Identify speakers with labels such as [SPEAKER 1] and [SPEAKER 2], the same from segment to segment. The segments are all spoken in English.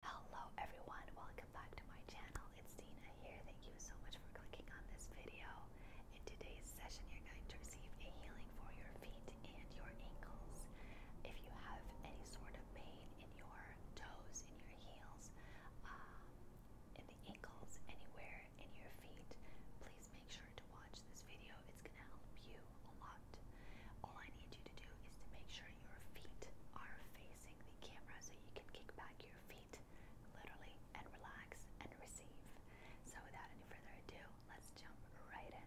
[SPEAKER 1] Hello everyone, welcome back to my channel. It's Dina here. Thank you so much for clicking on this video. In today's session, you're going to receive a healing for your feet and your ankles. If you have any sort of pain in your toes, in your heels, um, in the ankles, anywhere in your feet, please make sure to watch this video. It's going to help you a lot. All I need you to do is to make sure your feet are facing the camera so you can kick back your feet literally and relax and receive. So, without any further ado, let's jump right in.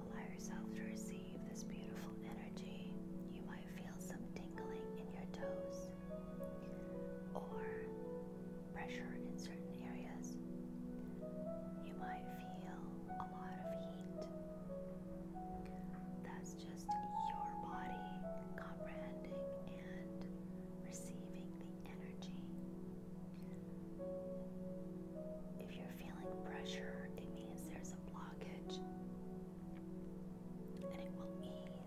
[SPEAKER 1] Allow yourself to receive this beautiful energy. You might feel some tingling in your toes, or pressure in certain areas. You might feel a lot of heat. That's just your body comprehending and receiving the energy. If you're feeling pressure, it means there's a blockage and it will ease.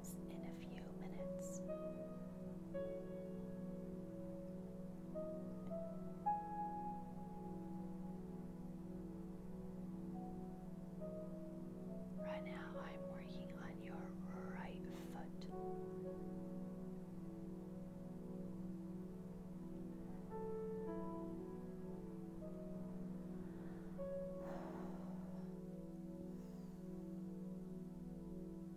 [SPEAKER 1] Right now, I'm working on your right foot.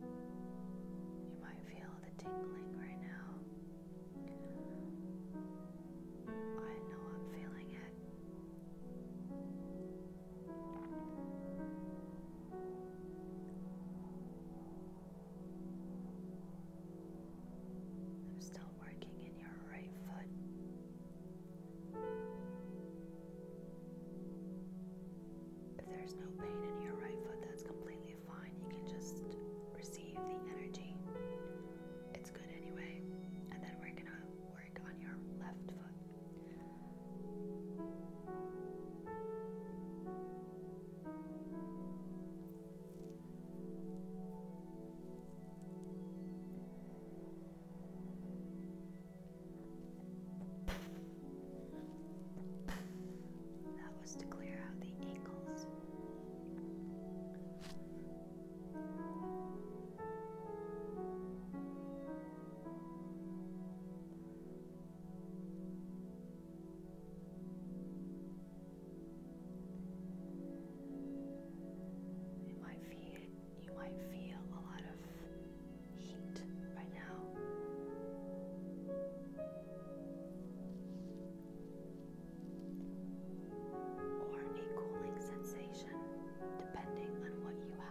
[SPEAKER 1] You might feel the tingling right now. I know I'm feeling it. I'm still working in your right foot. If there's no pain in your right foot, that's completely fine. You can just receive the energy. It's good anyway. And then we're going to work on your left foot. That was to clear out the angles. And my feet you might feel a lot of heat right now. Or a cooling sensation, depending on what you have.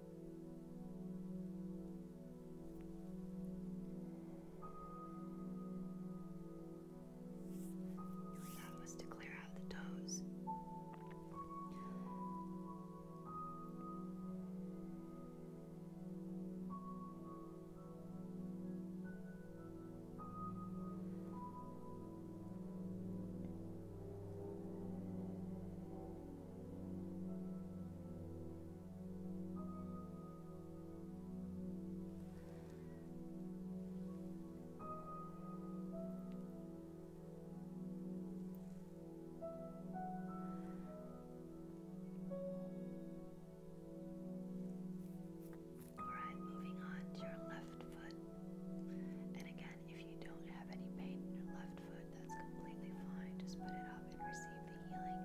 [SPEAKER 1] That was to clear out the toes. All right, moving on to your left foot, and again, if you don't have any pain in your left foot, that's completely fine. Just put it up and receive the healing.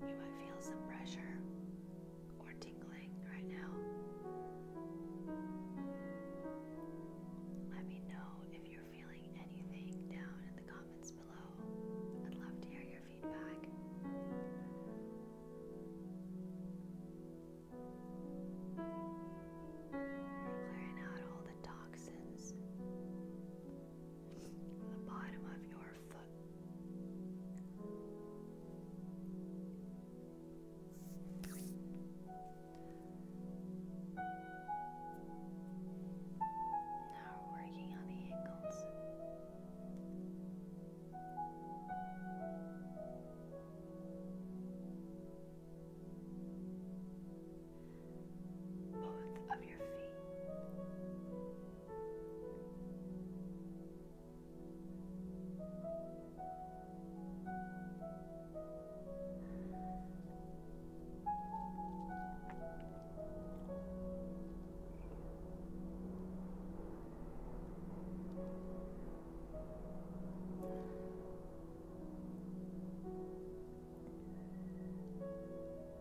[SPEAKER 1] You might feel some pressure or tingling right now. Let me know if you're feeling anything down in the comments below. I'd love to hear your feedback. We're clearing out all the toxins from the bottom of your foot. Now we're working on the ankles both of your feet.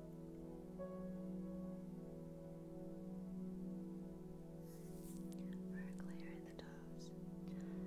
[SPEAKER 1] We're clearing the toes. Good.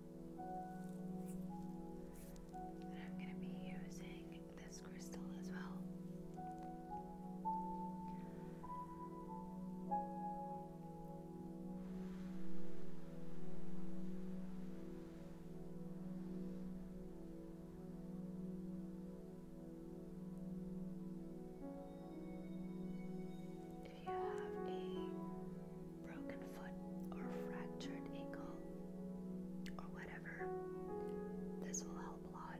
[SPEAKER 1] I'm going to be using this crystal as well if you have a broken foot or fractured ankle or whatever, this will help a lot.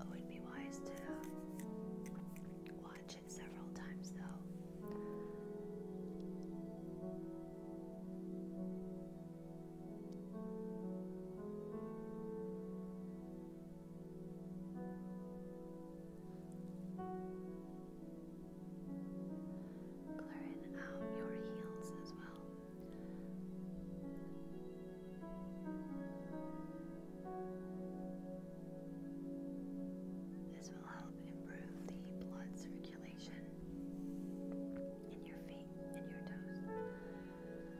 [SPEAKER 1] It would be wise to watch it several times, though. Clearing out your heels as well. This will help improve the blood circulation in your feet and your toes.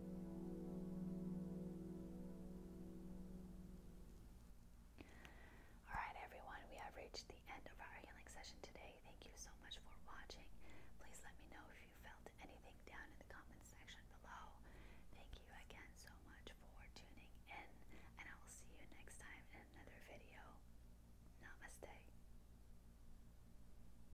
[SPEAKER 1] all right, everyone, we have reached the end of our healing session today. Thank you so much for watching. Please let me know if you felt anything down in the comments section below. Thank you again so much for tuning in, and I will see you next time in another video. Namaste.